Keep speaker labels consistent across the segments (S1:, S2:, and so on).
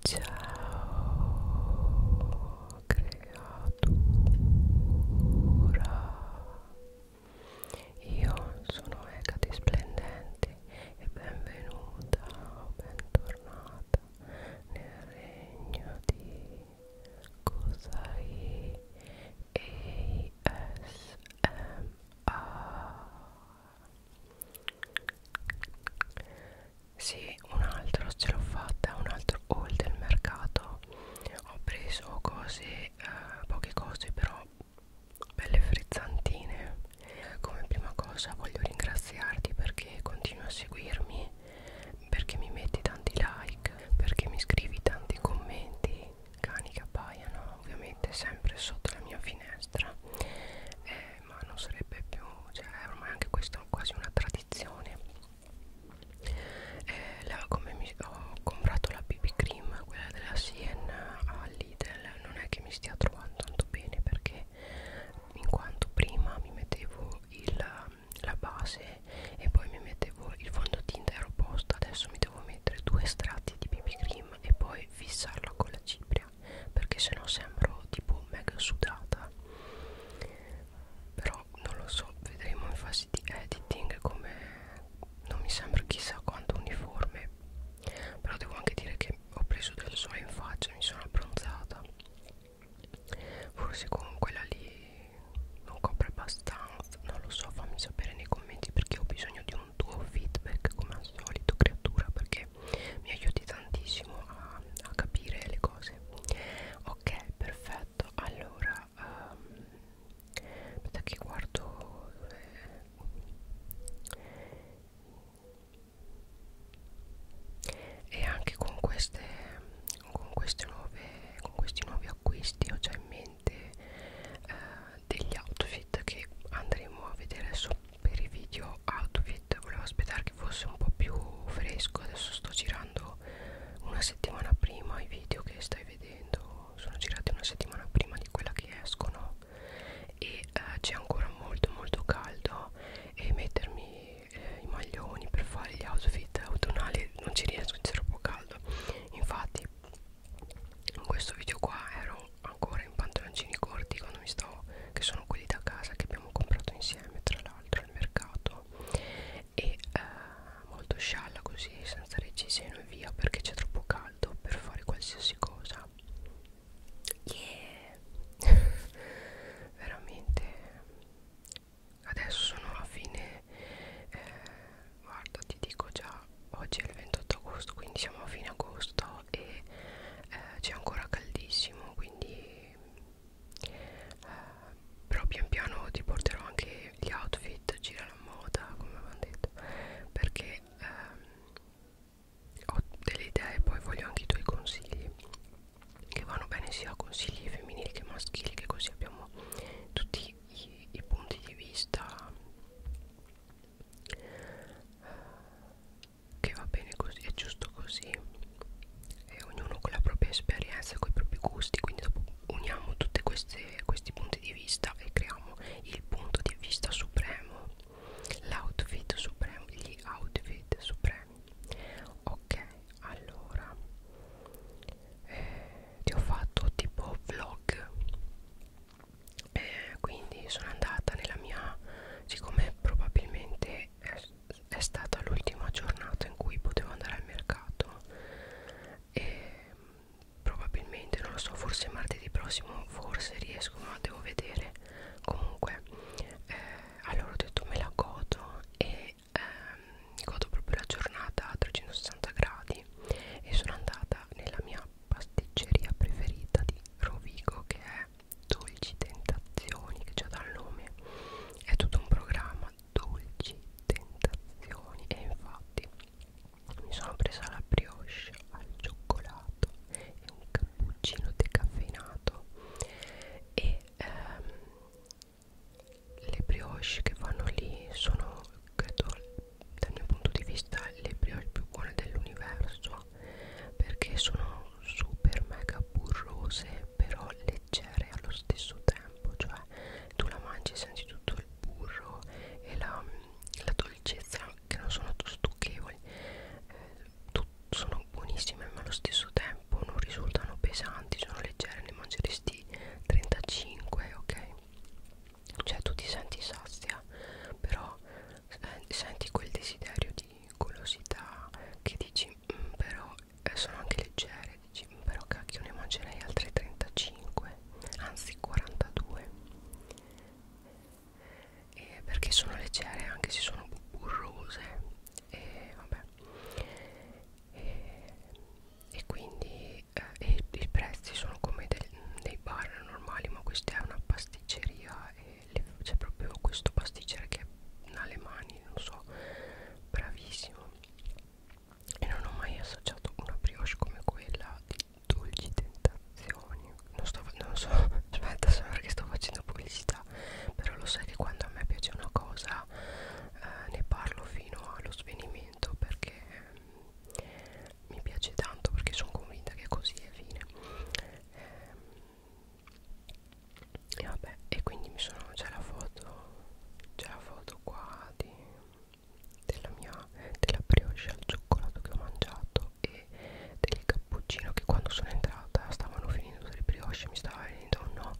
S1: Ciao creatura Io sono Ecati Splendenti e benvenuta o bentornata nel regno di Cosai ASMR sì, un altro ce l'ho fatta, un altro haul del mercato. Ho preso cose, eh, poche cose però belle frizzantine. Come prima cosa voglio ringraziarti perché continui a seguirmi, perché mi metti tanti like, perché mi scrivi tanti commenti, cani che appaiano ovviamente sempre sotto la mia finestra. Eh, eh, ma non sarebbe più cioè è ormai anche questa quasi una tradizione eh, la, come mi, ho comprato la BB cream quella della Siena a Lidl non è che mi stia trovando tanto bene perché in quanto prima mi mettevo il, la base e poi mi mettevo il fondotinta aeroposta adesso mi devo mettere due strati di BB cream e poi fissarla con la cipria seria perché sennò sembro tipo mega sudata però non lo so vedremo in fase di editing come non mi sembra chissà quanto uniforme però devo anche dire che ho preso del sole in faccia mi sono abbronzata forse con quella lì non copre abbastanza non lo so fammi sapere nei commenti perché ho bisogno di un tuo feedback come al solito creatura perché mi aiuti tantissimo a, a capire le cose ok perfetto allora um, aspetta che guardo eh, e anche con queste con queste nuove con questi nuovi acquisti ho già in mente eh, degli outfit che andremo a vedere sotto per i video outfit volevo aspettare che fosse un po' più fresco adesso sto girando una settimana prima i video che stai vedendo sono girati una settimana prima di quella che escono e eh, c'è ancora molto molto caldo e mettermi eh, i maglioni per fare gli outfit autunnali non ci riesco c'è troppo caldo infatti in questo video qua ero ancora in pantaloncini corti quando mi stavo che sono sono quelli da casa che abbiamo comprato insieme tra l'altro al mercato e eh, molto scialla così senza reggiseno e via perché c'è troppo caldo per fare qualsiasi cosa yeah veramente adesso sono a fine eh, guarda ti dico già oggi è il 28 agosto quindi siamo a fine agosto e eh, c'è ancora caldissimo quindi eh, però pian piano ti porterò anche gli outfit gira la moda come avevamo detto perché ehm, ho delle idee poi voglio anche i tuoi consigli che vanno bene sia consigli femminili che maschili che così abbiamo tutti i, i punti di vista eh, che va bene così, è giusto così e ognuno con la propria esperienza, con i propri gusti quindi dopo uniamo tutti questi punti di vista e creiamo il punto di vista supremo l'outfit supremo, gli outfit supremi ok, allora eh, ti ho fatto tipo vlog eh, quindi sono andata nella mia siccome probabilmente eh, è stata l'ultima giornata in cui potevo andare al mercato e mm, probabilmente non lo so forse martedì prossimo forse riesco ma devo vedere comunque eh, allora ho detto me la godo e ehm, godo proprio la giornata a 360 gradi e sono andata nella mia pasticceria preferita di Rovigo che è Dolci Tentazioni che già dal nome è tutto un programma Dolci Tentazioni e infatti mi sono presa la brioche al cioccolato e un cappuccino decaffeinato e ehm, le brioche che vanno lì sono credo dal mio punto di vista le brioche più buone dell'universo perché sono super mega burrose però leggere allo stesso tempo cioè tu la mangi senti tutto il burro e la, la dolcezza che non sono stucchevoli eh, sono buonissime ma allo stesso tempo non risultano pesanti sono leggere ne mangeresti 35 ok cioè tu ti senti sazia però eh, senti quel desiderio di golosità che dici però eh, sono anche leggere dici però cacchio ne mangerei altre 35 anzi 42 eh, perché sono leggere anche se sono burrose e eh, vabbè eh, e quindi eh, i prezzi sono come del, dei bar normali ma questa è una pasticceria e le, c'è proprio questo pasticcere che è un Alemani, non so, bravissimo e non ho mai assaggiato una brioche come quella di dolci tentazioni non, sto, non so, aspetta, sembra che sto facendo pubblicità però lo sai che quando a me piace una cosa eh, ne parlo fino allo svenimento perché eh, mi piace tanto perché sono convinta che così è fine eh, e vabbè e quindi mi sono c'è la foto c'è la foto qua di, della mia della brioche al cioccolato che ho mangiato e del cappuccino che quando sono entrata stavano finendo le brioche mi stava venendo oh no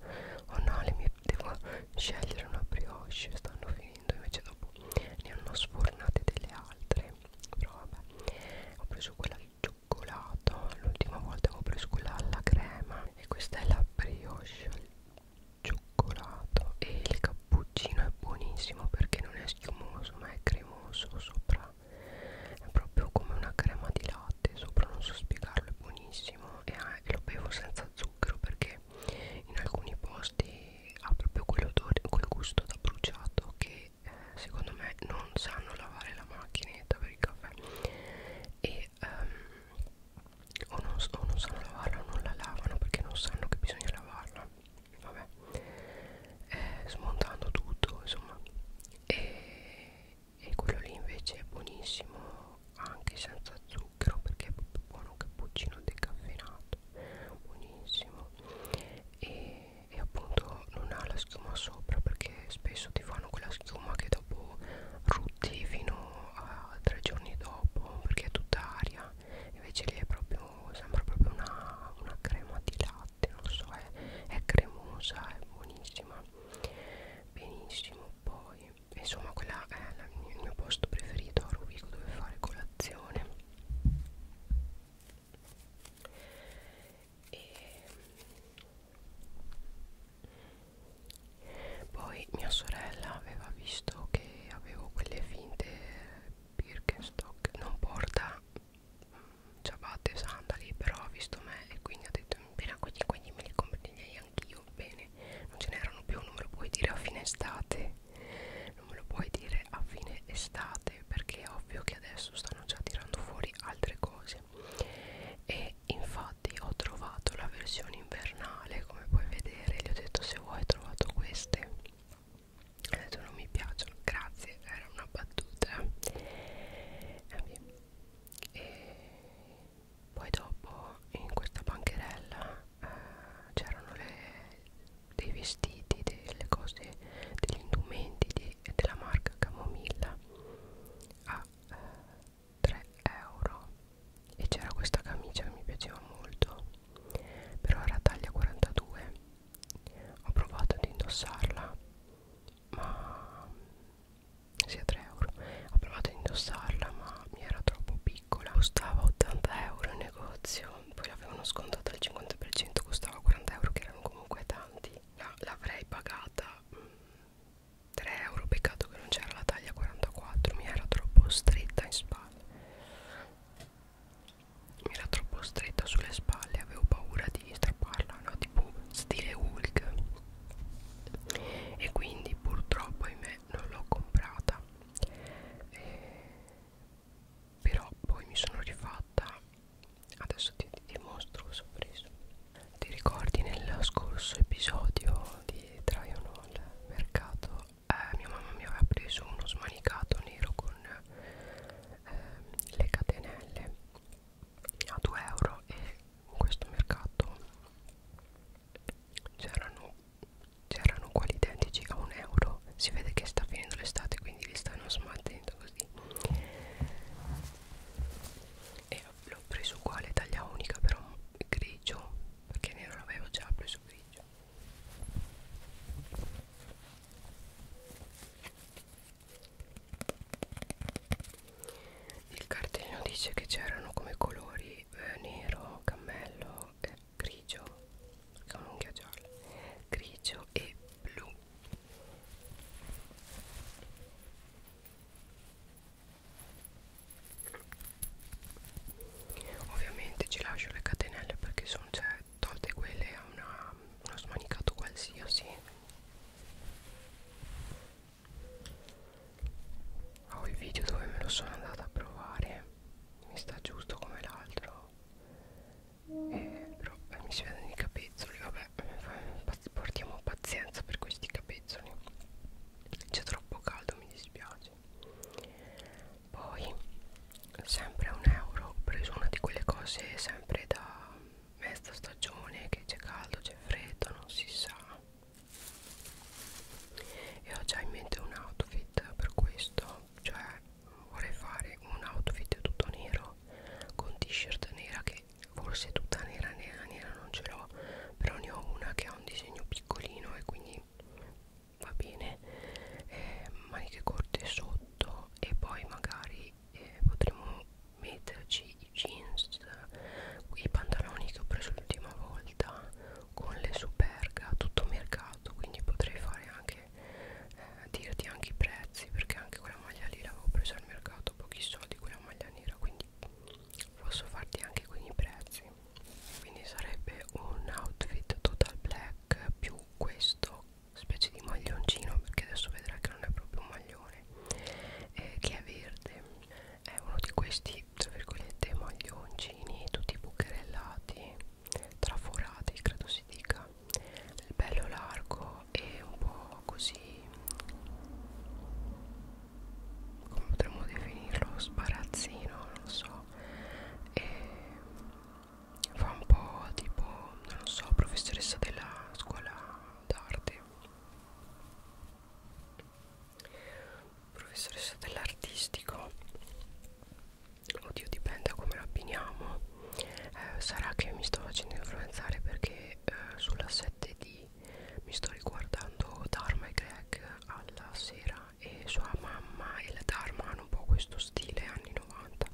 S1: oh no le mie devo scegliere una brioche stanno finendo invece dopo ne hanno sfornate delle altre però vabbè ho preso quella del cioccolato l'ultima volta avevo preso quella alla crema e questa è la brioche al cioccolato e il cappuccino è buonissimo perché non è schiumoso ma è cremoso sopra è proprio come una crema di latte sopra non so spiegarlo è buonissimo e ah, lo bevo senza zucchero perché in alcuni posti ha proprio quell'odore quel gusto da bruciato che eh, secondo me non sanno lavare la macchinetta per il caffè e um, o, non, o non sanno lavarla o non la lavano perché non sanno che bisogna lavarla vabbè eh, smontando tutto insomma e, e quello lì invece è buonissimo anche senza zucchero perché è proprio buono cappuccino decaffeinato buonissimo e, e appunto non ha la schiuma sopra perché spesso ti fanno quella schiuma che dopo rutti fino a tre giorni dopo perché è tutta aria invece lì è proprio sembra proprio una, una crema di latte non so è, è cremosa è buonissima benissimo poi insomma quella è la, il mio posto preferito a Rovigo dove fare colazione e poi mia sorella aveva visto che avevo quelle finte Birkenstock non porta mm, ciabatte e sandali però ha visto me e quindi ha detto appena mm, quelli quindi me li comprerei anch'io bene non ce n'erano più non me lo puoi dire a fine estate non me lo puoi dire a fine estate perché è ovvio che adesso stanno già tirando fuori altre cose e e infatti ho trovato la versione invernale come puoi vedere gli ho detto se vuoi ho trovato queste ha detto non mi piacciono grazie era una battuta eh, e poi dopo in questa bancherella eh, c'erano dei vestiti delle cose degli indumenti di, della marca camomilla a ah, eh, 3 euro e c'era questa camicia che mi piaceva molto però era taglia 42 ho provato ad indossarla ma sì a 3 euro ho provato ad indossarla ma mi era troppo piccola costava 80 euro in negozio poi l'avevano scontata al 50% costava 40 euro che erano comunque tanti l'avrei pagata mm, 3 euro peccato che non c'era la taglia 44 mi era troppo stretta in spalle mi era troppo stretta sulle spalle avevo paura di strapparla no? tipo stile Hulk e quindi purtroppo ahimè non l'ho comprata e... Eh, però poi mi sono rifatta adesso ti dimostro cosa ho preso ti ricordi nel scorso episodio di Traion al mercato? Eh, mia mamma mi aveva preso uno smanicato nero con eh, le catenelle a 2 euro e in questo mercato c'erano quali identici a 1 euro. Si vede che sta finendo l'estate quindi li stanno smaltendo così e l'ho preso uguale taglia unica però grigio perché nero l'avevo già preso grigio il cartellino dice che c'erano come colori eh, nero, cammello, eh, grigio, perché ho un'unghia gialla, grigio e blu Ovviamente ci lascio le catenelle perché sono cioè, tolte quelle a una, uno smanicato qualsiasi. Ho il video dove me lo sono andata a provare, mi sta giusto come l'altro. Eh, però eh, mi si vedono i capezzoli, vabbè, portiamo pazienza per questi capezzoli c'è troppo caldo mi dispiace poi sempre un euro ho preso una di quelle cose sempre da mezza stagione che c'è caldo c'è freddo non si sa e ho già in mente un outfit per questo cioè vorrei fare un outfit tutto nero con t-shirt nera che forse tutta nera nera nera non ce l'ho però ne ho una che ha un disegno piccolino e quindi va bene eh, maniche corte sotto e poi magari eh, potremo metterci i jeans i pantaloni che ho preso l'ultima volta con le superga tutto mercato quindi potrei fare anche eh, dirti anche i prezzi perché anche quella maglia lì l'avevo presa al mercato pochi soldi quella maglia nera quindi posso farti anche con i prezzi quindi sarebbe un outfit total black più questo specie di maglioncino perché adesso vedrai che non è proprio un maglione eh, che è verde è uno di questi tra virgolette maglioncini tutti bucherellati traforati credo si dica bello largo e un po' così come potremmo definirlo sbarazzino non so e fa un po' tipo non so professoressa della scuola d'arte professoressa dell'artistico oddio dipende da come la abbiniamo eh, sarà che mi sto facendo influenzare perché eh, sulla 7 di così mi sto riguardando Dharma e Greg alla sera e sua mamma e la Dharma hanno un po' questo stile anni 90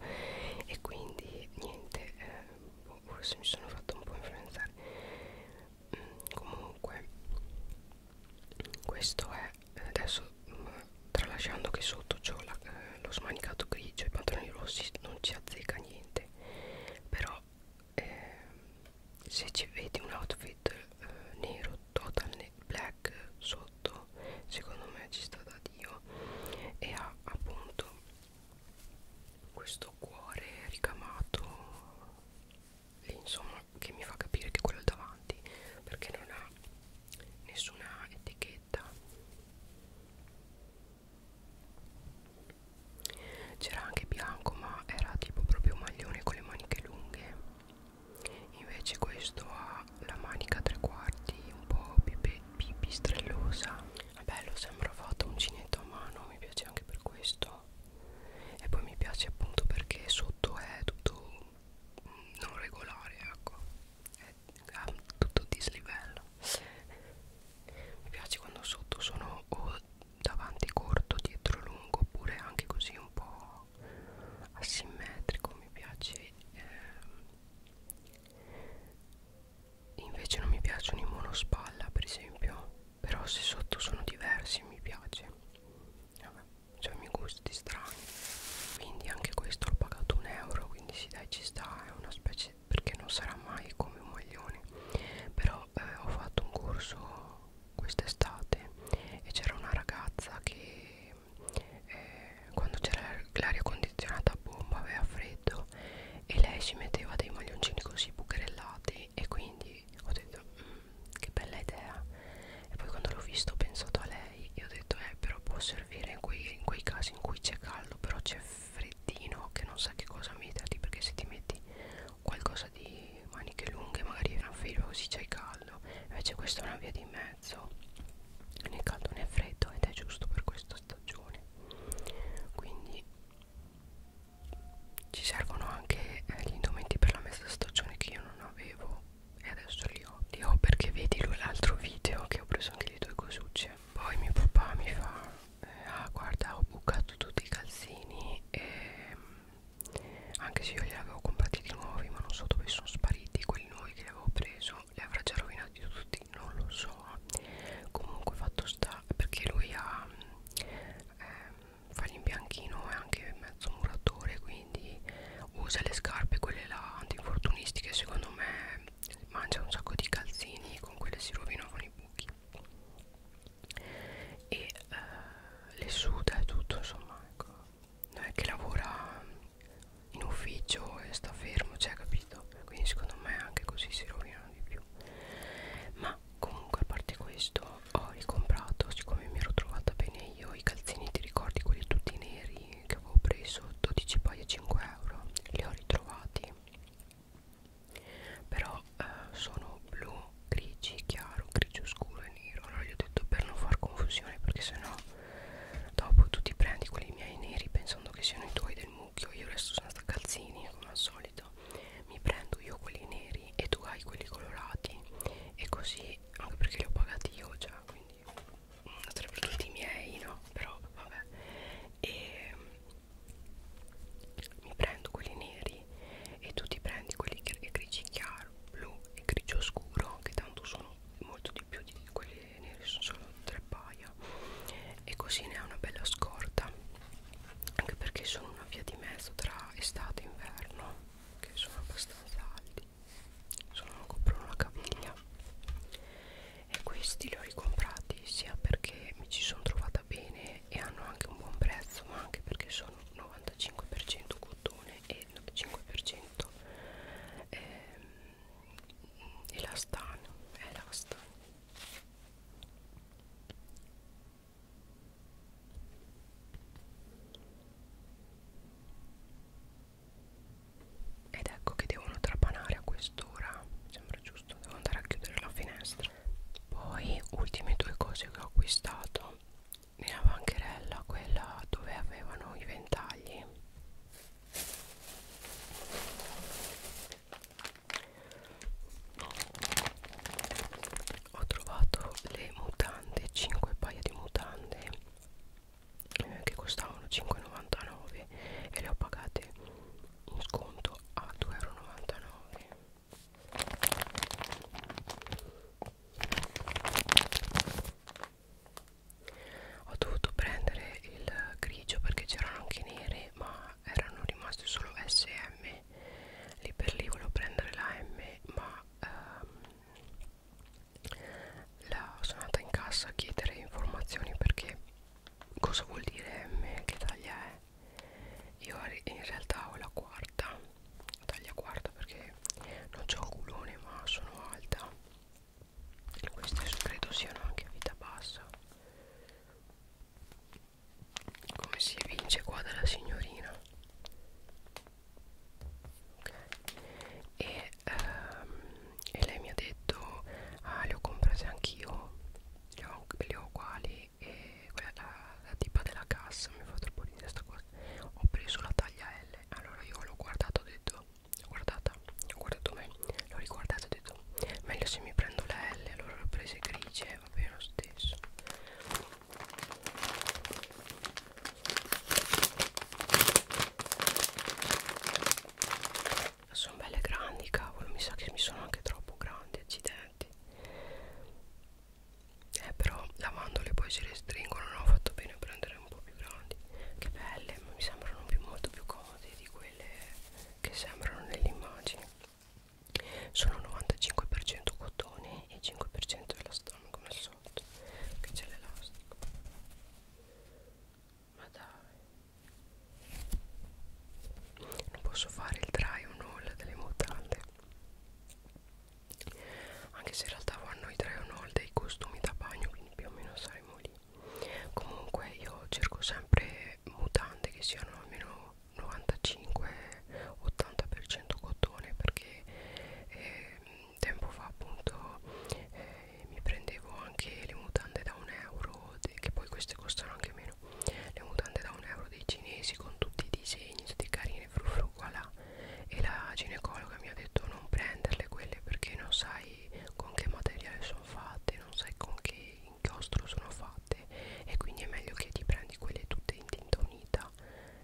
S1: e quindi niente eh, boh, forse mi sono fatto un po' influenzare mm, comunque questo è adesso mm, tralasciando che sotto c'ho eh, lo smanicato grigio e i pantaloni rossi non ci azzecca niente però eh, se ci vedi un outfit eh, nero total black sotto secondo me ci sta da dio e ha appunto questo cuore ricamato insomma che mi fa capire che quello è davanti perché non ha nessuna etichetta c'era anche bianco ma era tipo proprio maglione con le maniche lunghe invece questo ha la manica a tre quarti un po' pipe, pipistrellosa è bello sembra fatto uncinetto a mano mi piace anche per questo e poi mi piace appunto perché sotto è tutto mm, non regolare ecco è tutto dislivello mi piace quando sotto sono o davanti corto, dietro lungo oppure anche così un po' asimmetrico mi piace eh, invece non mi piacciono i monospalla per esempio però se sotto sono diversi mi piace Vabbè, cioè i miei gusti strani quindi anche questo l'ho pagato un euro quindi sì dai ci sta è una specie perché non sarà mai come un maglione però eh, ho fatto un corso quest'estate e c'era una ragazza che eh, quando c'era l'aria condizionata a bomba aveva freddo e lei si metteva dei maglioncini così bucherellati e quindi ho detto mm, che bella idea e poi quando l'ho visto ho pensato a lei e ho detto eh però può servire in quei, in quei casi in cui c'è caldo però c'è freddino che non sa che cosa metterti perché se ti metti qualcosa qualcosa di maniche lunghe magari è una felpa così c'è caldo invece questa è una via di mezzo né caldo né freddo ed è giusto per questa stagione quindi ci servono anche eh, gli indumenti per la mezza stagione che io non avevo e adesso li ho li ho perché vedi l'altro video che ho preso anche le due cosucce poi mio papà mi fa eh, ah guarda ho bucato tutti i calzini e anche se io li avevo comprati di nuovi ma non so dove sono spariti quelli nuovi che avevo preso li avrà già rovinati tutti non lo so comunque fatto sta perché lui ha ehm, fa l'imbianchino e anche mezzo muratore quindi usa le scarpe quelle là antinfortunistiche secondo me mangia un sacco di calzini con quelle si rovinavano i buchi e eh, le suda e tutto insomma ecco non è che lavora in ufficio e sta fermo cioè capito quindi secondo me anche così si rovinano di più ma comunque a parte questo ho ricomprato siccome mi ero trovata bene io i calzini ti ricordi quelli tutti neri che avevo preso 12 paia 5 euro li ho ritrovati però però eh, sono blu, grigi, chiaro, grigio scuro e nero Allora gli ho detto per non far confusione perché sennò dopo tu ti prendi quelli miei neri pensando che siano i tuoi del mucchio Io resto senza calzini come al solito Mi prendo io quelli neri e tu hai quelli colorati E così, anche perché li ho pagati io già quindi sarebbero mm, tutti i miei no? Però vabbè e ehm, mi prendo quelli neri grigi e tu ti prendi quelli grigi chiaro, blu e grigio scuro che tanto sono molto di più di quelli neri, sono solo tre paia e così ne ha una bella scorta anche perché sono una via di mezzo tra estate e inverno che sono abbastanza alti sono coprono la caviglia e questi li ho ricomprati sia perché mi ci sono trovata bene e hanno anche un buon prezzo ma anche perché sono 95% cotone e 95% ehm, elastano elastano ed ecco che devono trapanare a quest'ora sembra giusto devo andare a chiudere la finestra poi ultime due cose che ho acquistato nella bancherella quella dove avevano i ventagli ho trovato le mutande 5 paia di mutande eh, che costavano 5,99 e le ho pagate in sconto a 2,99 euro ho dovuto prendere il grigio perché c'erano anche nere ma erano rimasti solo SM lì per lì volevo prendere la M ma ehm, la, sono andata in cassa a chiedere informazioni perché cosa vuol dire M che taglia è io in realtà ho la quarta taglia quarta perché non c'ho un culone ma sono alta e queste credo siano anche a vita bassa come si evince qua dalla signorina ok e, ehm, e lei mi ha detto ah le ho comprate anch'io le ho, le ho uguali e quella, la, la tipa della cassa mi fa troppo ridere sta cosa ho preso la taglia L allora io l'ho guardato ho detto l'ho guardata ho guardato me l'ho riguardata ho detto meglio se mi prendo la L allora l'ho presa grigie va bene lo stesso sono belle grandi cavolo mi sa che mi sono anche troppo grandi accidenti eh però lavandole poi si restringono no ho fatto bene a prendere un po' più grandi che belle mi sembrano più molto più comode di quelle che sembrano nell'immagine sono 95% cotone e 5% elastano come al solito che c'è l'elastico ma dai non posso fare il try on haul delle mutande anche se in realtà vanno i tre o no dei costumi da bagno quindi più o meno saremo lì comunque io cerco sempre mutande che siano almeno 95-80% cotone perché eh, tempo fa appunto eh, mi prendevo anche le mutande da un euro che poi queste costano anche meno le mutande da un euro dei cinesi con tutti i disegni tutti carini vitamine fru fru voilà. e la ginecologa mi ha detto non prenderle quelle perché non sai con che materiale sono fatte non sai con che inchiostro sono fatte e quindi è meglio che ti prendi quelle tutte in tinta unita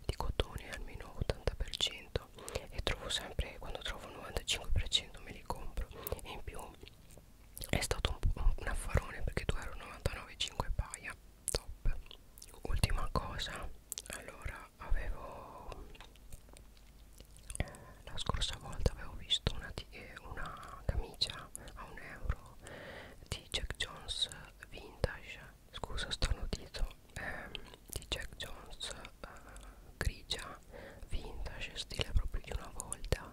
S1: di cotone almeno 80% e trovo sempre quando trovo il 95% me li compro e in più è stato un, un, un affarone perché 2,99 euro 5 paia top ultima cosa allora avevo eh, la scorsa volta avevo visto una, eh, una camicia a un euro di Jack Jones vintage scusa sto notizio eh, di Jack Jones eh, grigia vintage stile proprio di una volta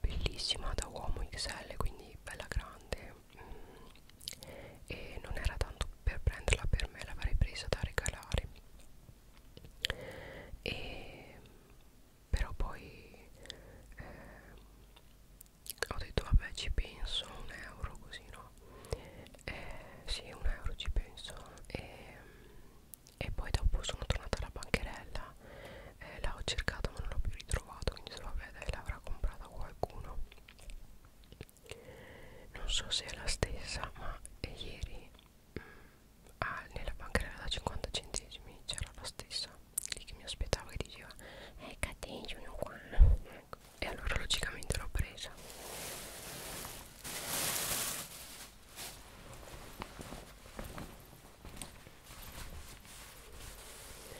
S1: bellissima da uomo XL quindi bella grande e non era tanto per prenderla per me l'avrei presa da regalare e però poi eh, ho detto vabbè ci penso un euro così no eh, sì un euro ci penso e, e poi dopo sono tornata alla bancherella eh, l'ho cercata ma non l'ho più ritrovata quindi se vabbè dai l'avrà comprata qualcuno non so se è la stessa ma ieri mh, mm, ah, nella banca da 50 centesimi c'era la stessa lì che mi aspettava che diceva eh cattivi uno qua ecco. e allora logicamente l'ho presa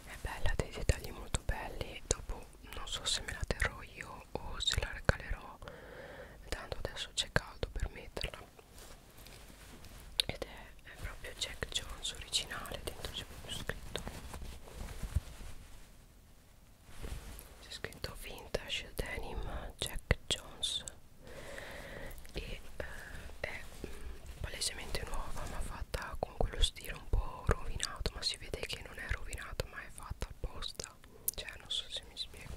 S1: è bella dei dettagli molto belli dopo non so se me la terrò io o se la regalerò tanto adesso c'è caldo per metterla ed è, è proprio Jack Jones originale dentro c'è proprio scritto c'è scritto vintage denim Jack Jones e eh, è mh, mm, palesemente nuova ma fatta con quello stile un po' rovinato ma si vede che non è rovinato stato mai fatto apposta cioè non so se mi spiego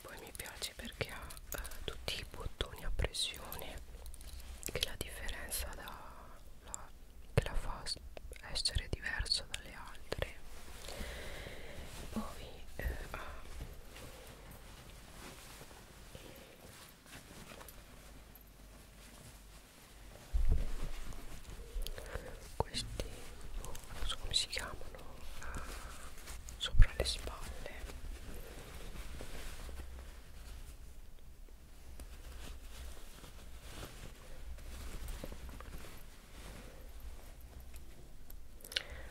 S1: poi mi piace perché ha eh, tutti i bottoni a pressione che la differenza da, la, che la fa essere diversa dalle altre poi eh, ha questi oh, non so come si chiamano uh, sopra le spalle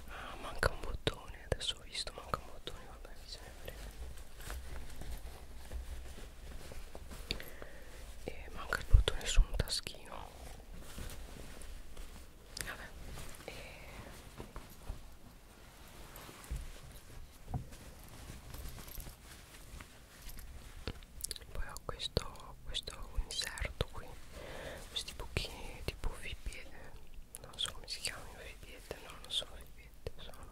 S1: Ah, manca un bottone, adesso ho visto, manca un bottone, vabbè, se ne frega. E manca il bottone su un taschino. Vabbè. E... Poi ho questo, questo inserto qui, questi buchini tipo fibbie non so come si chiamano i biglietti no non sono i biglietti sono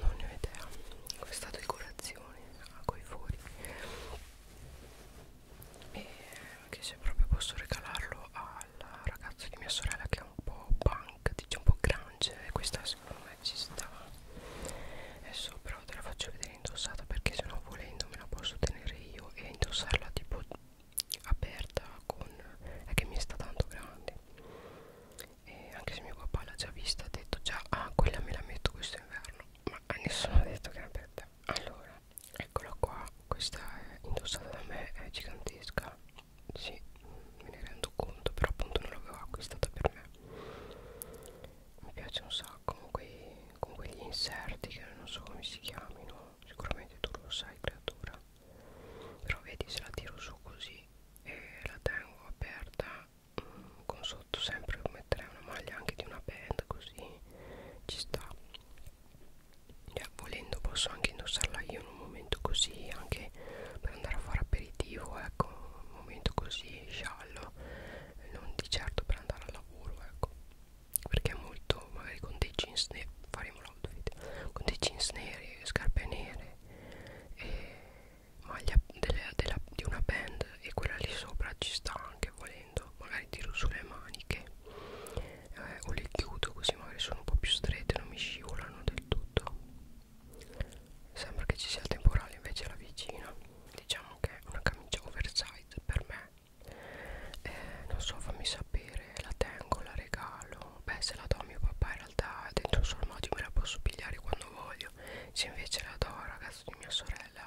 S1: non ne ho idea questa decorazione a ah, coi fori e che se proprio posso regalarlo al ragazzo di mia sorella che è un po' punk dice un po' grunge e questa secondo me ci sta adesso però te la faccio vedere indossata perché se no volendo me la posso tenere io e indossarla tipo aperta con è che mi sta tanto grande e anche se mio papà l'ha già vista ha detto già ah quella me la metto questo inverno ma a nessuno ha detto che era per te allora eccola qua questa è indossata da me è gigantesca sì me ne rendo conto però appunto non l'avevo acquistata per me mi piace un sacco con, quei, con quegli inserti che non so come si chiamino sicuramente tu lo sai creatura però vedi se la tiro su così e la tengo aperta mh, mm, con sotto sempre metterei una maglia anche di una band così ci sta cioè, volendo posso anche indossarla io in un momento così anche per andare a fare aperitivo ecco un momento così sciallo non di certo per andare al lavoro ecco perché è molto magari con dei jeans neri faremo l'outfit con dei jeans neri scarpe nere e maglia delle, della, di una band e quella lì sopra ci sta anche volendo magari tiro sulle maniche eh, o le chiudo così magari sono un po' più strette non mi scivolano del tutto sembra che ci sia il temporale invece la vicina diciamo che una camicia oversize per me eh, non so fammi sapere la tengo la regalo beh se la do a mio papà in realtà dentro un formaggio me la posso pigliare quando voglio se invece la do al ragazzo di mia sorella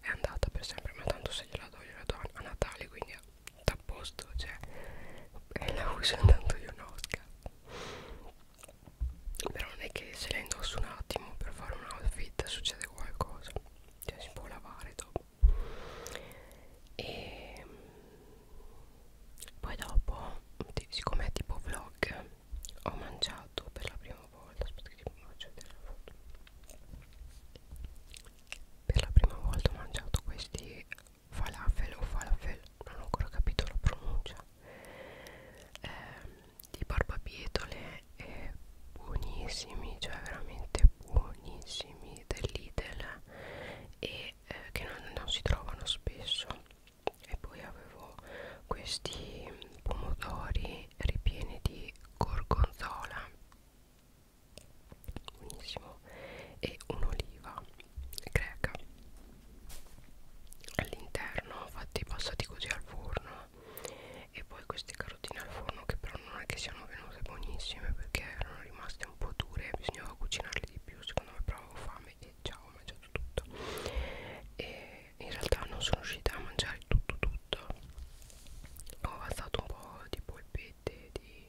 S1: è andata per sempre ma tanto se gliela do gliela do a Natale quindi a posto cioè e la uso intanto io no però non è che se la indosso un attimo per fare un outfit succede qualcosa cioè si può lavare dopo e mm, poi dopo siccome è tipo vlog ho mangiato per la prima volta aspetta che mi faccio vedere la foto per la prima volta ho mangiato questi falafel o falafel non ho ancora capito la pronuncia eh, di barbabietole e buonissimi cioè veramente buonissimi dell'Idel e eh, che non, non si trovano spesso e poi avevo questi pomodori ripieni di gorgonzola buonissimo e un'oliva greca all'interno fatti passati così al forno e poi queste carotine al forno che però non è che siano venute buonissime perché erano rimaste un po' dure bisognava cucinarle di più secondo me però avevo fame e ciao ho mangiato tutto e in realtà non sono riuscita a mangiare tutto tutto ho avanzato un po' di polpette di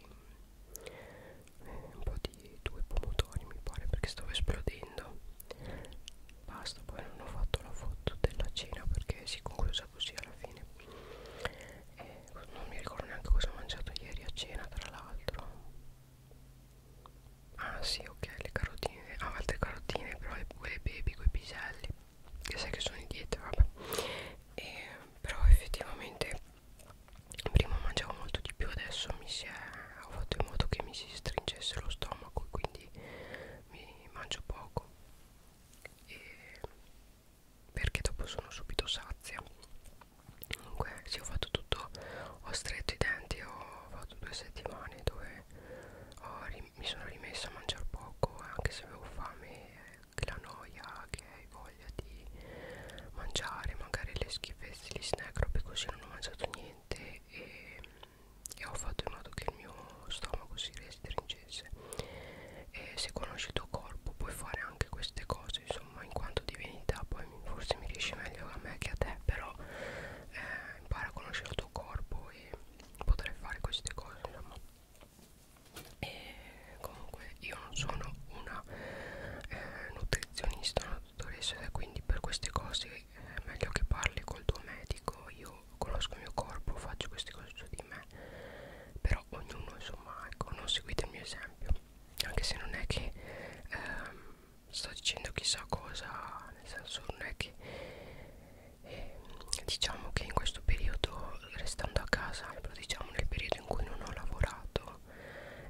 S1: eh, un po' di due pomodori mi pare perché stavo esplodendo basta poi non ho fatto la foto della cena perché si concluse chiusa così alla fine e non mi ricordo neanche cosa ho mangiato ieri a cena tra l'altro ah sì ok le carotine ah altre carotine però le, quelle baby quei piselli che sai che sono in dieta vabbè e, però effettivamente prima mangiavo molto di più adesso mi si è ho fatto in modo che mi si stringesse lo stomaco quindi mi mangio poco e perché dopo sono subito sazia comunque sì ho fatto tutto ho stretto i denti ho fatto due settimane dove mi sono rimessa a mangiare poco anche se avevo fame che la noia che hai voglia di mangiare magari le schifezze gli snack robe così non ho mangiato niente e, e ho fatto in modo che il mio stomaco si restringesse e se conosci il tuo corpo puoi fare anche queste cose insomma in quanto divinità poi forse mi riesce meglio a me che a te però eh, impara a conoscere il tuo corpo e potrai fare queste cose insomma e comunque io non sono una eh, nutrizionista una dottoressa quindi per queste cose eh, è eh, meglio che parli col tuo medico io conosco il mio corpo faccio queste cose su di me però però ognuno insomma ecco non seguite il mio esempio anche se non è che ehm, sto dicendo chissà cosa nel senso non è che eh, diciamo che in questo periodo restando a casa diciamo nel periodo in cui non ho lavorato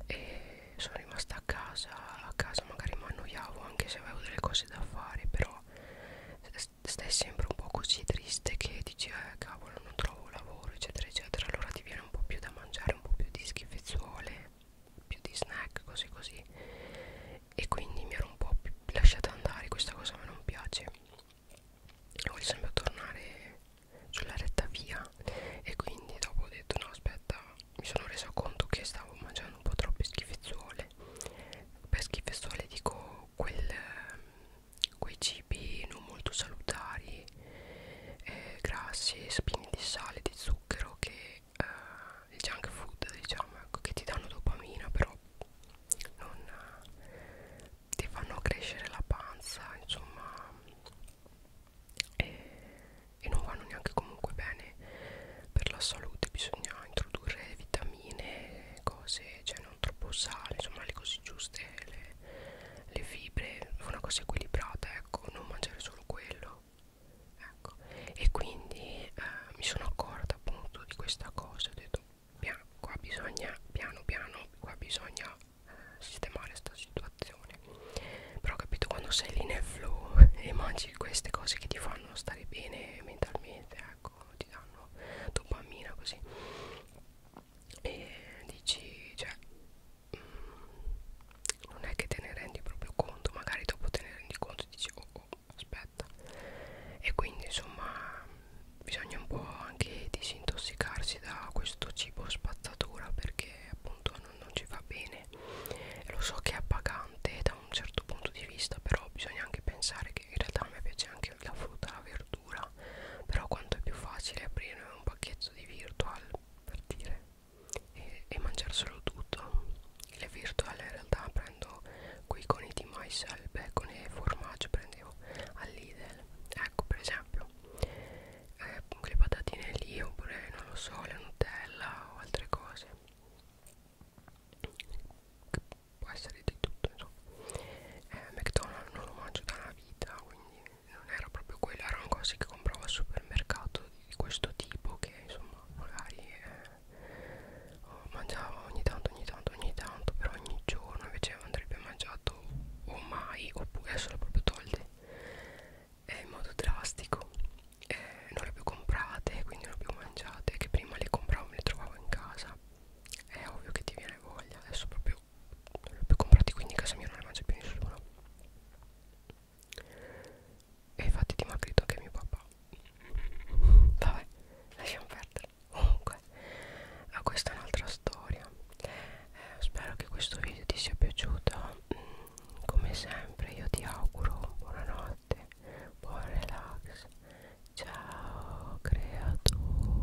S1: e sono rimasta a casa a casa magari mi annoiavo anche se avevo delle cose da fare però stai sempre un po' così triste che dici eh cavolo non trovo lavoro eccetera eccetera allora ti viene un po' più da mangiare un po' più di schifezzuole più di snack così così e quindi mi ero un po' più lasciata andare questa cosa mi non piace e voglio sempre tornare sulla retta via e quindi dopo ho detto no aspetta mi sono resa conto che stavo mangiando un po' troppe schifezzuole per schifezzuole dico quel quei cibi non molto salutari eh, grassi e spini di sale di zucchero che eh, il junk food diciamo ecco, che ti danno dopamina però non eh, ti fanno crescere la panza insomma e, e non vanno neanche comunque bene per la salute bisogna introdurre vitamine cose cioè non troppo sale insomma le cose giuste le fibre le fibre una cosa equilibrata ecco non mangiare solo quello ecco e quindi eh, mi sono accorta appunto di questa cosa ho detto piano, qua bisogna piano piano qua bisogna eh, sistemare sta situazione però ho capito quando sei lì nel flow e mangi queste cose che ti fanno stare bene mentalmente ecco ti danno dopamina così e dici cioè mh, mm, non è che te ne rendi proprio conto magari dopo te ne rendi conto e dici oh, oh aspetta e quindi insomma bisogna un po' anche disintossicarsi da questo cibo spazzatura perché appunto non, non ci va bene lo so che è appagante da un certo punto di vista però bisogna anche pensare che in realtà a me piace anche la frutta la verdura verdura però quanto è più facile aprire un pacchetto di virtual per dire e, e mangiarselo tutto le virtual in realtà prendo quei coni di mais al bacon e formaggio prendevo all'idel ecco per esempio eh, le patatine lì oppure non lo so la nutella o altre cose può essere di tutto insomma eh, McDonald's non lo mangio da una vita quindi non era proprio quello, erano cose che compravo al supermercato di questo tipo che insomma magari eh, mangiavo ogni tanto, ogni tanto, ogni tanto per ogni giorno invece andrebbe mangiato o mai oppure solo proprio tolte eh, in modo drastico eh, non le ho più comprate quindi non le ho più mangiate che prima le compravo me le trovavo in casa è ovvio che ti viene voglia adesso proprio più comprati quindi in casa mia non ne mangia più nessuno e infatti dimagrito anche mio papà vabbè lasciamo perdere comunque questa è un'altra storia eh, spero che questo video ti sia piaciuto mm, come sempre io ti auguro buonanotte buon relax ciao creatura